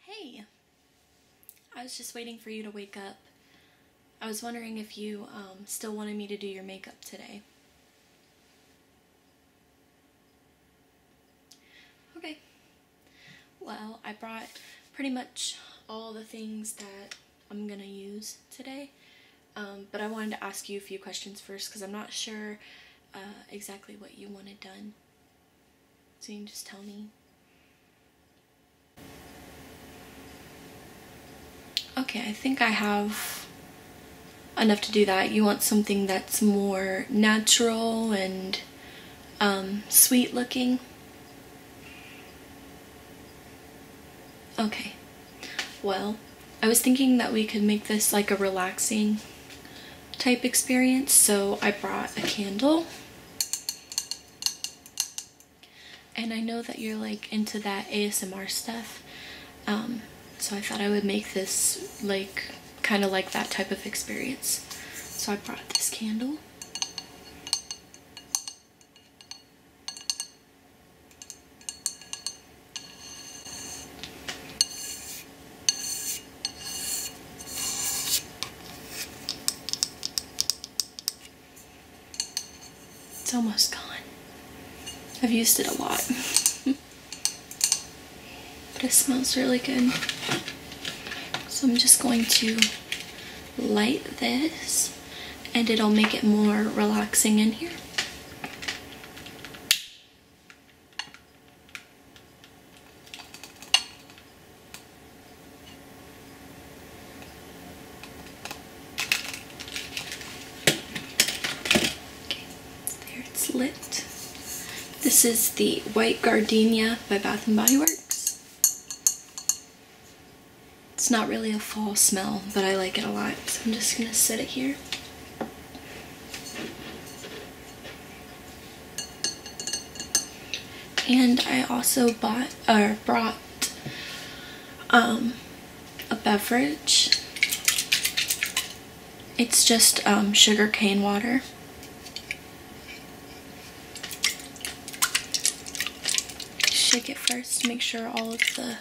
Hey! I was just waiting for you to wake up. I was wondering if you um, still wanted me to do your makeup today. Okay. Well, I brought pretty much all the things that I'm gonna use today. Um, but I wanted to ask you a few questions first because I'm not sure uh, exactly what you wanted done. So you just tell me. Okay, I think I have enough to do that. You want something that's more natural and um, sweet looking. Okay, well, I was thinking that we could make this like a relaxing type experience. So I brought a candle. And I know that you're like into that ASMR stuff. Um, so I thought I would make this like kind of like that type of experience. So I brought this candle. It's almost gone. I've used it a lot. but it smells really good. So I'm just going to light this and it'll make it more relaxing in here there it's lit. This is the White Gardenia by Bath & Body Works. It's not really a fall smell, but I like it a lot, so I'm just going to set it here. And I also bought or brought um, a beverage. It's just um, sugar cane water. Shake it first, make sure all of the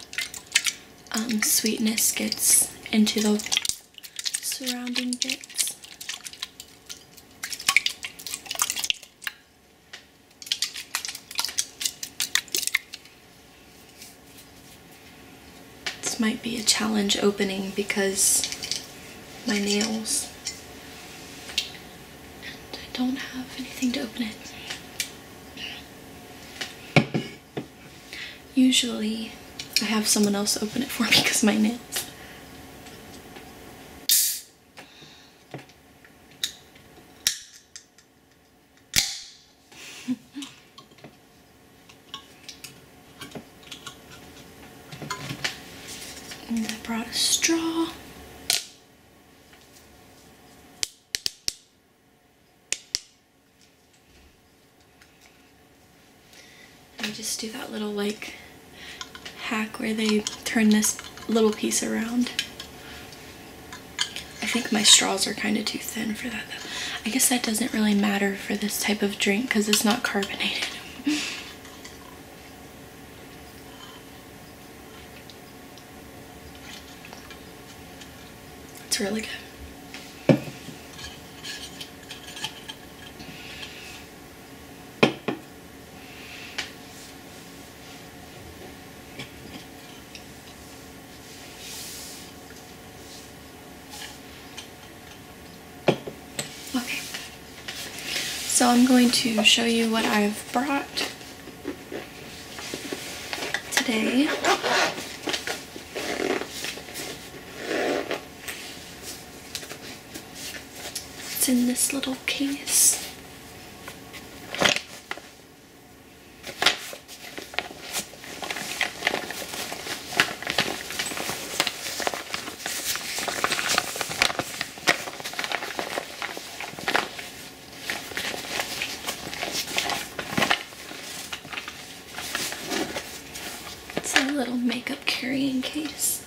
um, sweetness gets into the surrounding bits. This might be a challenge opening because my nails and I don't have anything to open it. Usually I have someone else open it for me because my nails. I brought a straw. I just do that little like hack where they turn this little piece around. I think my straws are kind of too thin for that though. I guess that doesn't really matter for this type of drink because it's not carbonated. it's really good. Okay, so I'm going to show you what I've brought today. It's in this little case. It's a little makeup carrying case.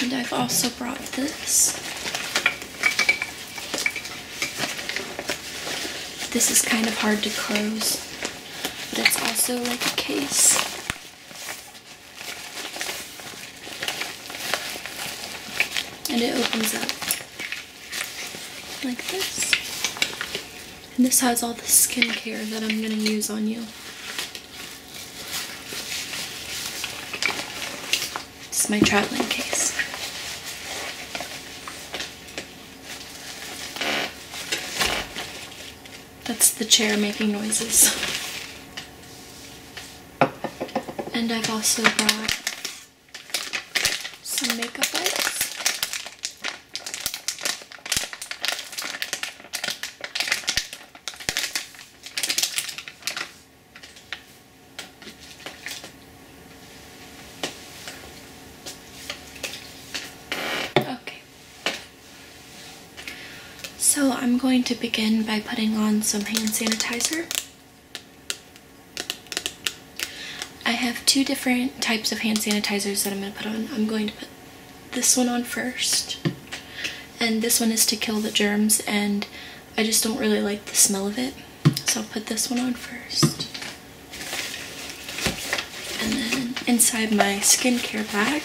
And I've also brought this. This is kind of hard to close, but it's also like a case. And it opens up like this. And this has all the skincare that I'm going to use on you. This is my traveling case. That's the chair making noises. And I've also brought some makeup wipes. Okay. So I'm going to begin by putting on some hand sanitizer. I have two different types of hand sanitizers that I'm going to put on. I'm going to put this one on first. And this one is to kill the germs and I just don't really like the smell of it. So I'll put this one on first. And then inside my skincare bag,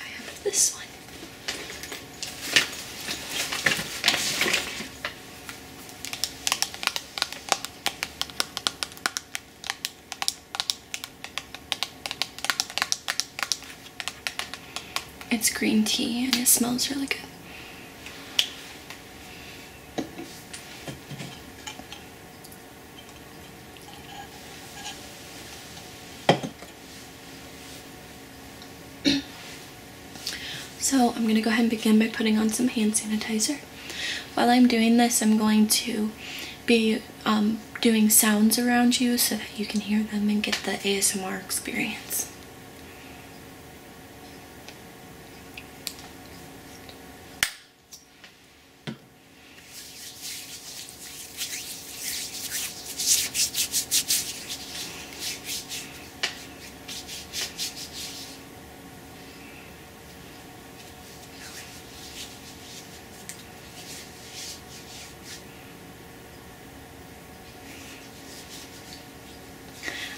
I have this one. It's green tea and it smells really good. so I'm going to go ahead and begin by putting on some hand sanitizer. While I'm doing this, I'm going to be um, doing sounds around you so that you can hear them and get the ASMR experience.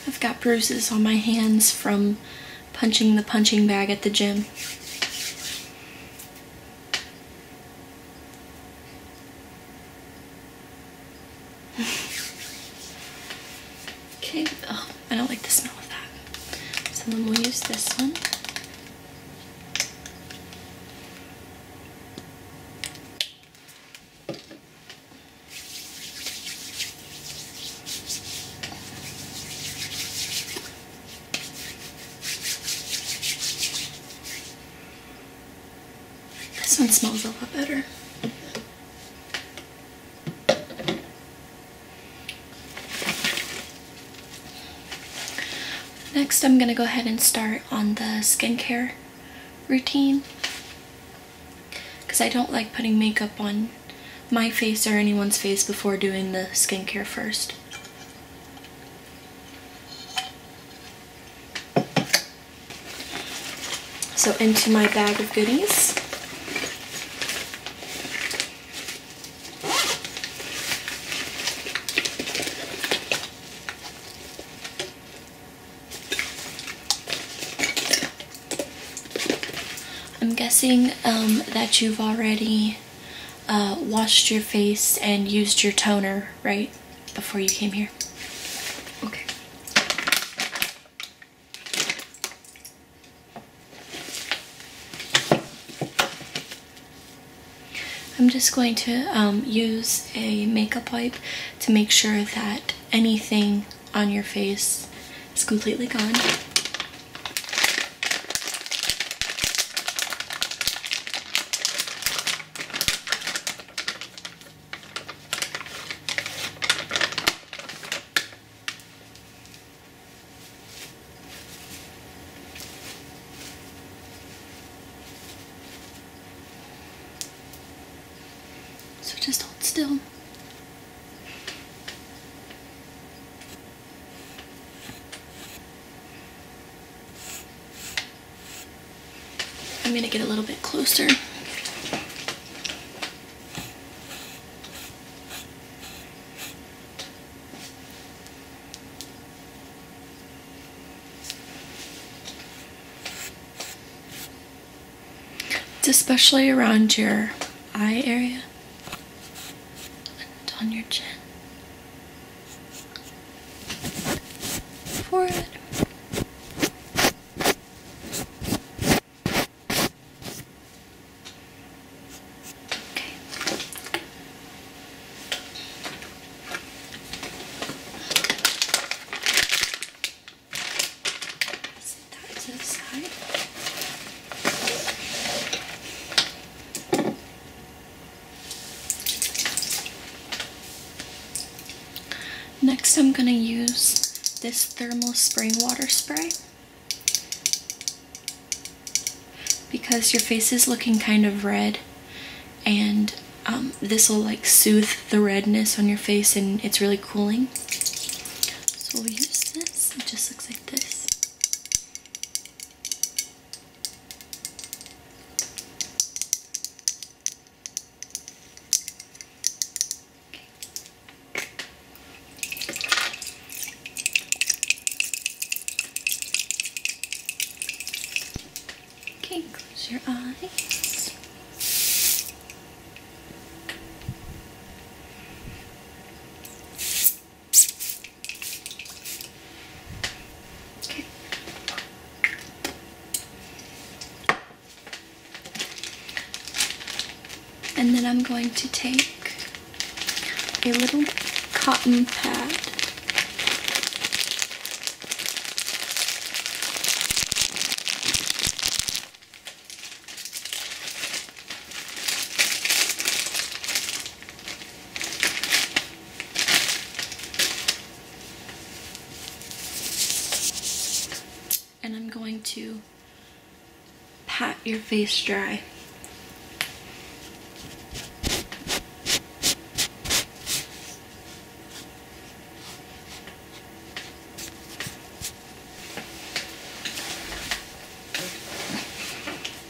I've got bruises on my hands from punching the punching bag at the gym okay, oh, I don't like the smell of that. So then we'll use this one. This one smells a lot better. Next, I'm going to go ahead and start on the skincare routine because I don't like putting makeup on my face or anyone's face before doing the skincare first. So into my bag of goodies. I'm guessing um, that you've already uh, washed your face and used your toner, right? before you came here? Okay. I'm just going to um, use a makeup wipe to make sure that anything on your face is completely gone. So just hold still. I'm going to get a little bit closer. It's especially around your eye area and on your chin forehead. Okay. Set that to the side. Next, I'm going to use this thermal spring water spray because your face is looking kind of red and um, this will like soothe the redness on your face and it's really cooling. So we'll use this. It just looks like this. Okay, close your eyes. And then I'm going to take a little cotton pad and I'm going to pat your face dry.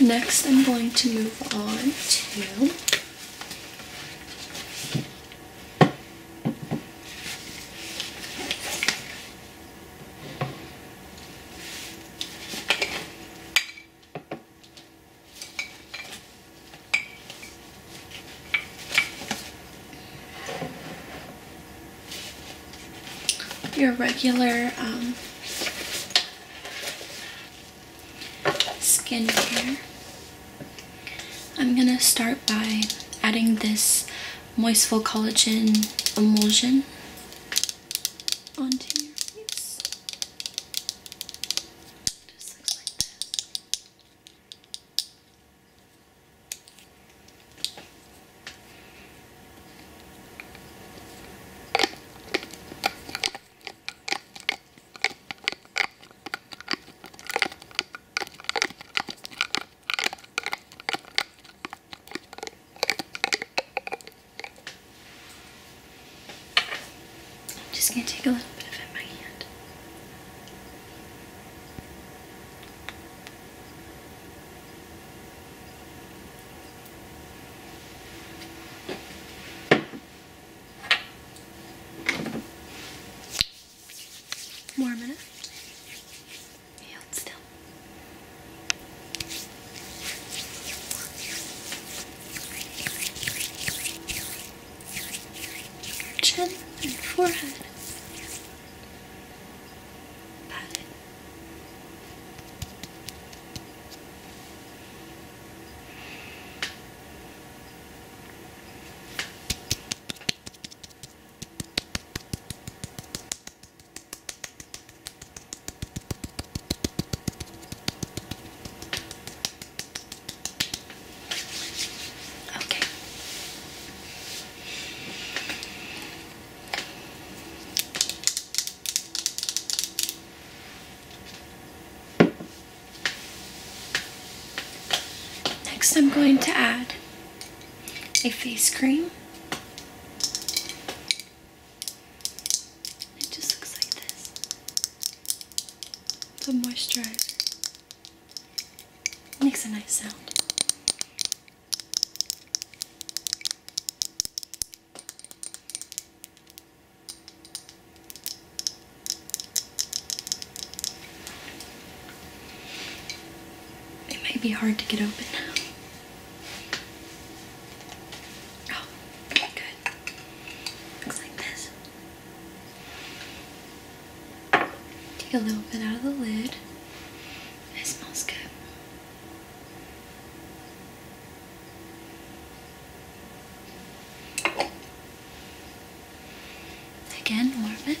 Next, I'm going to move on to your regular um, skincare. I'm going to start by adding this Moistful Collagen Emulsion onto your face. Just like this. I'm just going to take a little bit of it in my hand. More minute. Hold still chin and forehead. Pat it. Okay. Next, I'm going to add a face cream. It just looks like this. It's a moisturizer. Makes a nice sound. It might be hard to get open. Oh, good. Looks like this. Take a little bit out of the lid. It smells good. Again, warm it. it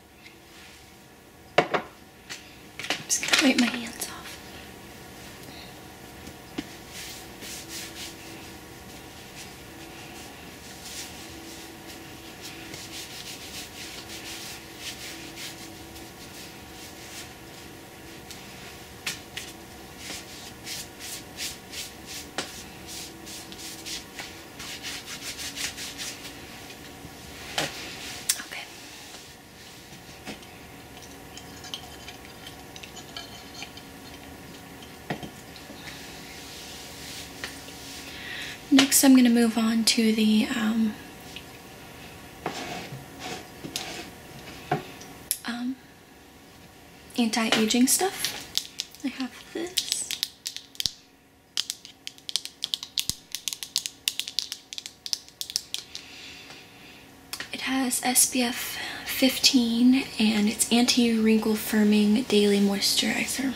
I'm just gonna wipe my hands off. Okay. Next, I'm going to move on to the um, um, anti-aging stuff. I have this. It has SPF 15 and it's anti-wrinkle firming daily moisturizer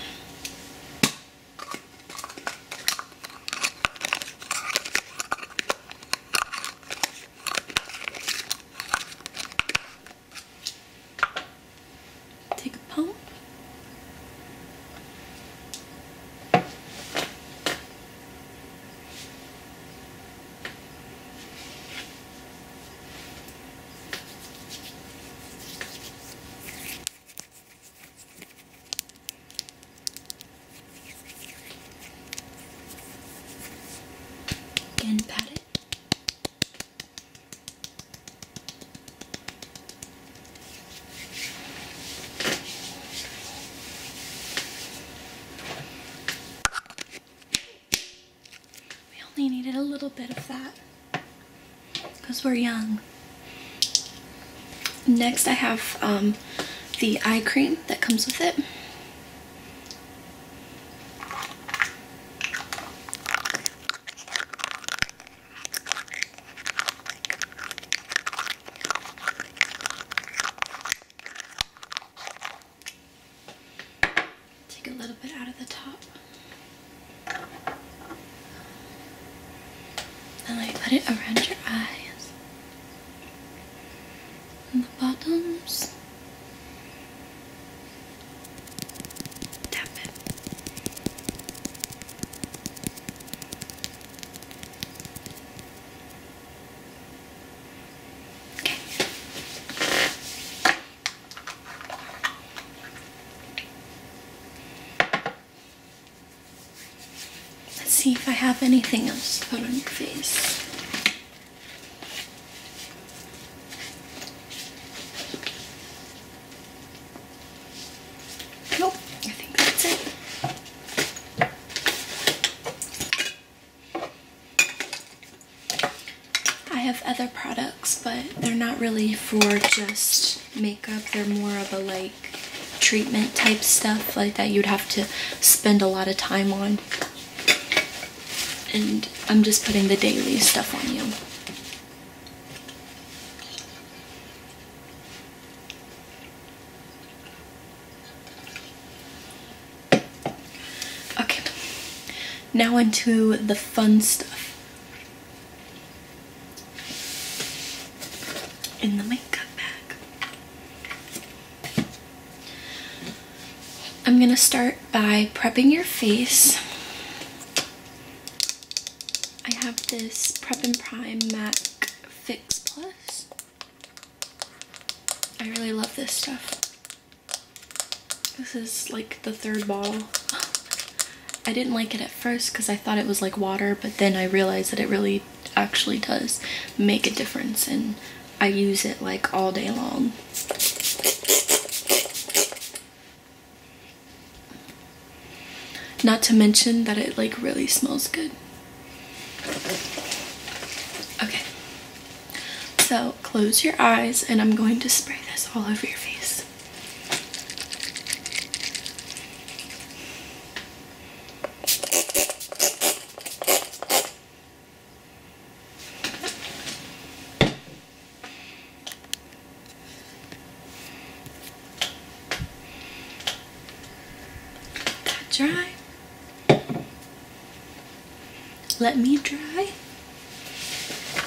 take a pump. Again, pat it. We only needed a little bit of that because we're young. Next I have um, the eye cream that comes with it. Take a little bit out of the top. and I put it around your eyes. And the bottoms. Tap it. Let's see if I have anything else to put on your face. Nope, I think that's it. I have other products, but they're not really for just makeup. They're more of a like treatment type stuff like that you'd have to spend a lot of time on. And I'm just putting the daily stuff on you. Okay, now into the fun stuff. In the makeup bag. I'm gonna start by prepping your face. I have this Prep and Prime MAC Fix Plus. I really love this stuff. This is like the third bottle. I didn't like it at first because I thought it was like water, but then I realized that it really actually does make a difference and I use it like all day long. Not to mention that it like really smells good. Okay. So close your eyes and I'm going to spray this all over your face dry. Let me dry.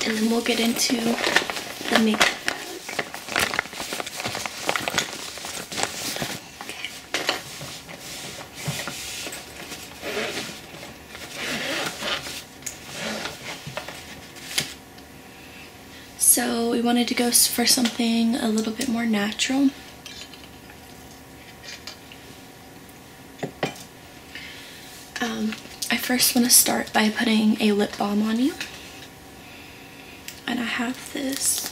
And then we'll get into the makeup so we wanted to go for something a little bit more natural. Um, I first want to start by putting a lip balm on you. And I have this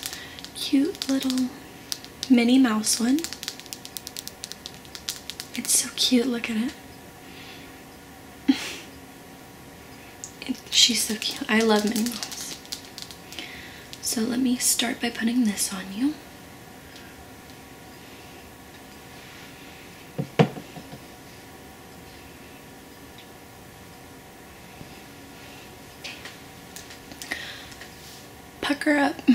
cute little Minnie Mouse one. It's so cute, look at it. she's so cute. I love Minnie Mouse. So let me start by putting this on you. Pucker up.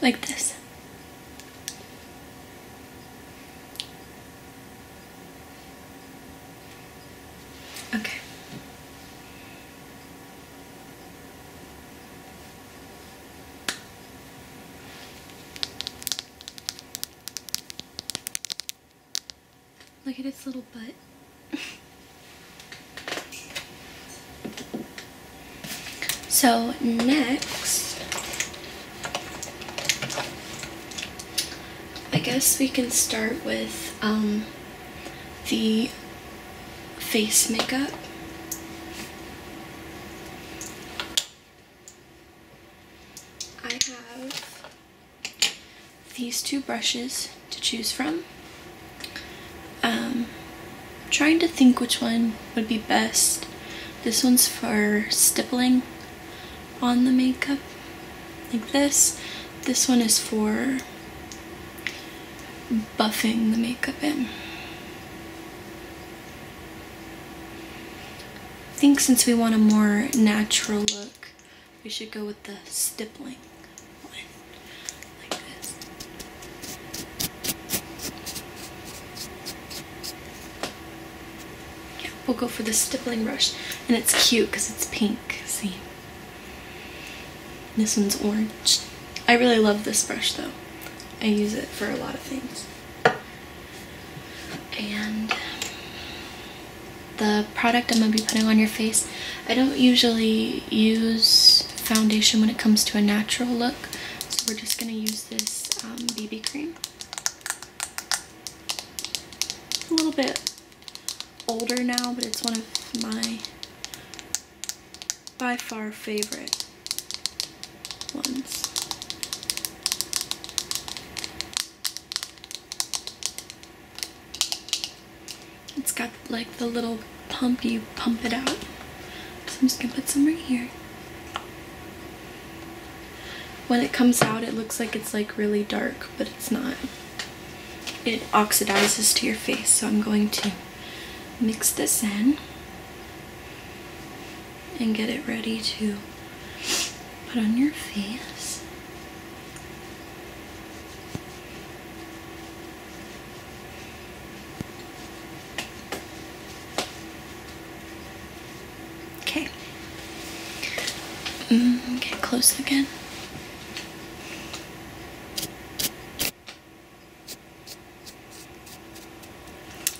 like this. Okay. Look at its little butt. so next, I guess we can start with um, the face makeup. I have these two brushes to choose from. Um, trying to think which one would be best. This one's for stippling on the makeup like this. This one is for buffing the makeup in. I think since we want a more natural look, we should go with the stippling. we'll go for the stippling brush. And it's cute because it's pink, see? This one's orange. I really love this brush though. I use it for a lot of things. And the product I'm going to be putting on your face, I don't usually use foundation when it comes to a natural look. So we're just going to use this um, BB cream. a little bit older now, but it's one of my by far favorite ones. It's got like the little pump, you pump it out. So I'm just gonna put some right here. When it comes out, it looks like it's like really dark, but it's not. It oxidizes to your face, so I'm going to mix this in and get it ready to put on your face. Okay. Mm, get close again.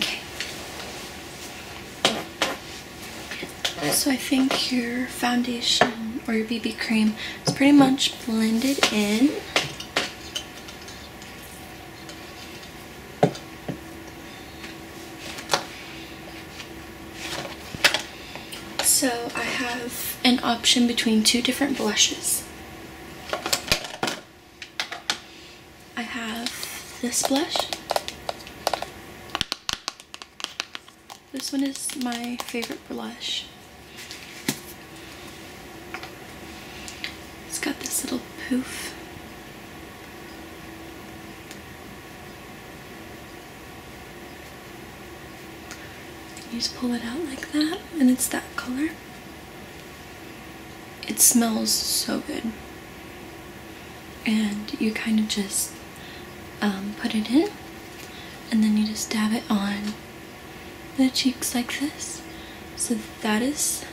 Okay. So I think your foundation or your BB cream is pretty much blended in. So I have an option between two different blushes. I have this blush. This one is my favorite blush. It's got this little poof. You just pull it out like that and it's that color it smells so good. And you kind of just um, put it in and then you just dab it on the cheeks like this. So that is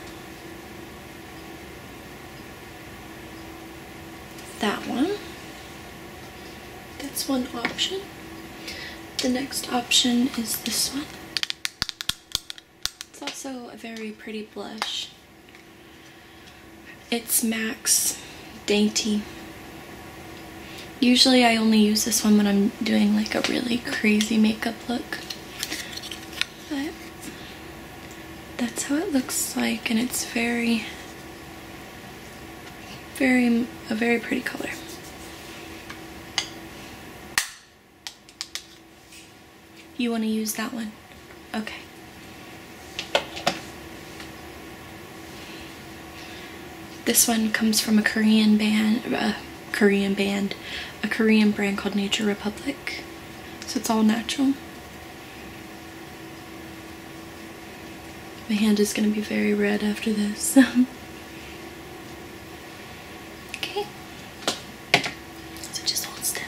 that one. That's one option. The next option is this one. It's also a very pretty blush. It's Max Dainty. Usually I only use this one when I'm doing like a really crazy makeup look. But that's how it looks like and it's very, very, a very pretty color. You want to use that one? Okay. This one comes from a Korean band, a uh, Korean band, a Korean brand called Nature Republic. So it's all natural. My hand is going to be very red after this. okay. So just hold still.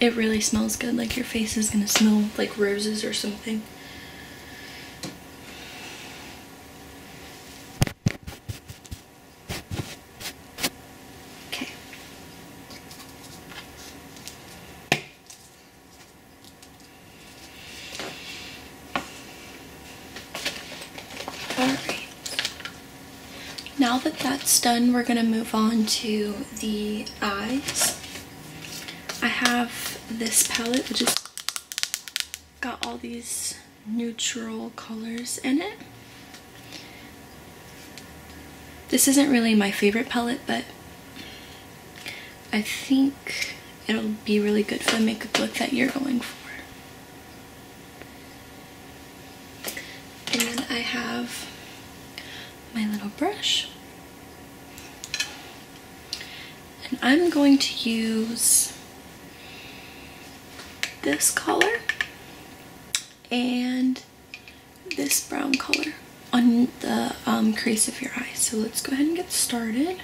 It really smells good, like your face is gonna smell like roses or something. Okay. Alright. Now that that's done, we're gonna move on to the eyes. I have this palette which has got all these neutral colors in it. This isn't really my favorite palette, but I think it'll be really good for the makeup look that you're going for. And then I have my little brush. And I'm going to use this color and this brown color on the um, crease of your eye. So let's go ahead and get started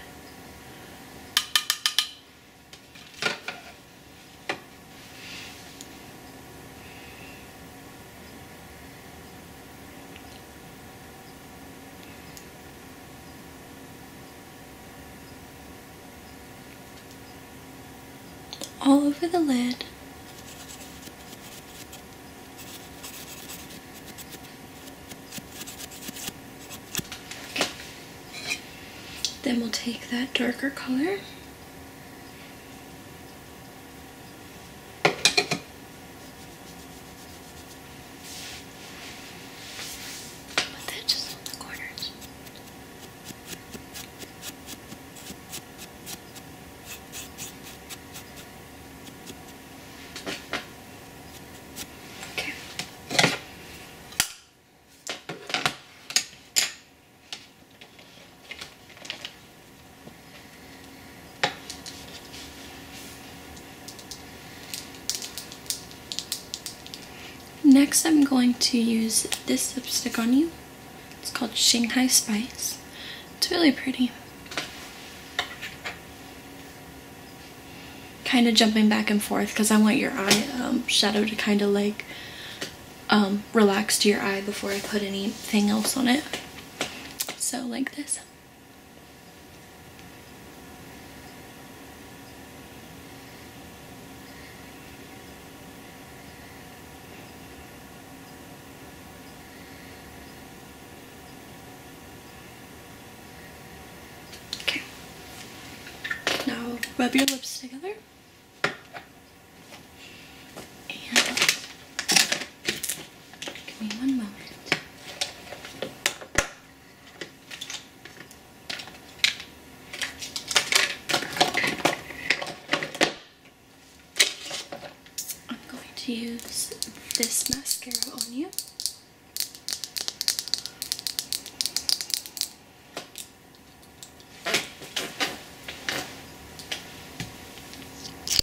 all over the lid. Then we'll take that darker color with edges on the corners. Okay. Next I'm going to use this lipstick on you. It's called Shanghai Spice. It's really pretty. Kind of jumping back and forth because I want your eye um, shadow to kind of like um, relax to your eye before I put anything else on it. So like this. Okay. Now rub your lips together give me one moment. I'm going to use this mascara on you.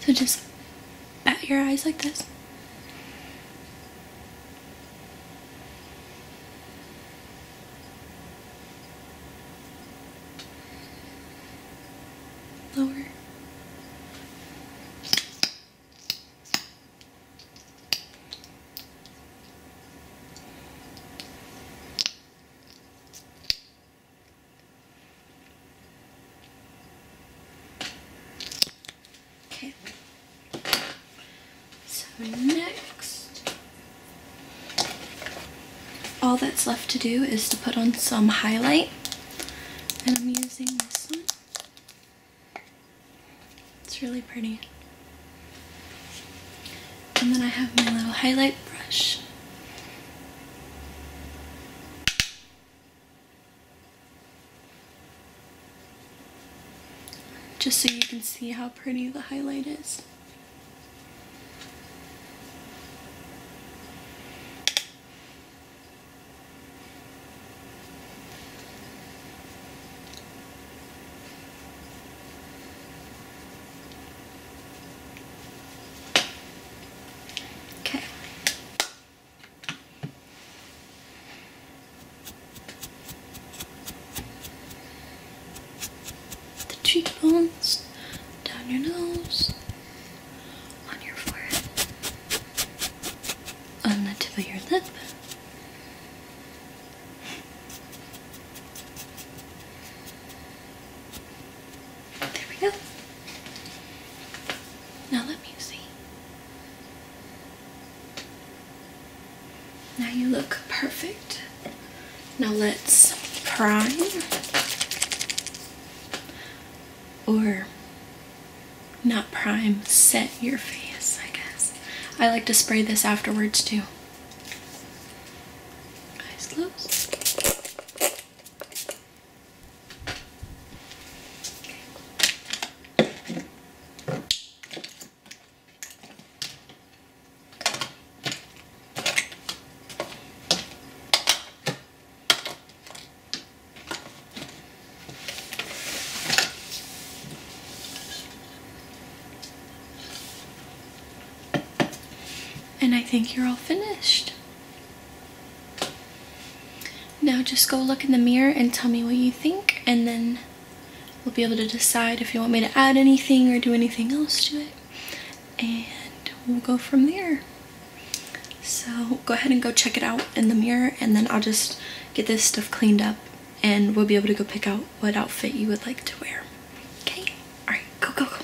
So just bat your eyes like this. Lower. Okay. So next, all that's left to do is to put on some highlight. And I'm using this one. It's really pretty. And then I have my little highlight brush. Just so you can see how pretty the highlight is. Okay. The cheekbones, down your nose, on your forehead, on the tip of your lip. Oh, there we go. Now let me see. Now you look perfect. Now let's prime or not prime, set your face, I guess. I like to spray this afterwards too. Eyes closed. And I think you're all finished. Now just go look in the mirror and tell me what you think and then we'll be able to decide if you want me to add anything or do anything else to it and we'll go from there. So go ahead and go check it out in the mirror and then I'll just get this stuff cleaned up and we'll be able to go pick out what outfit you would like to wear. Okay? Alright, go, go, go.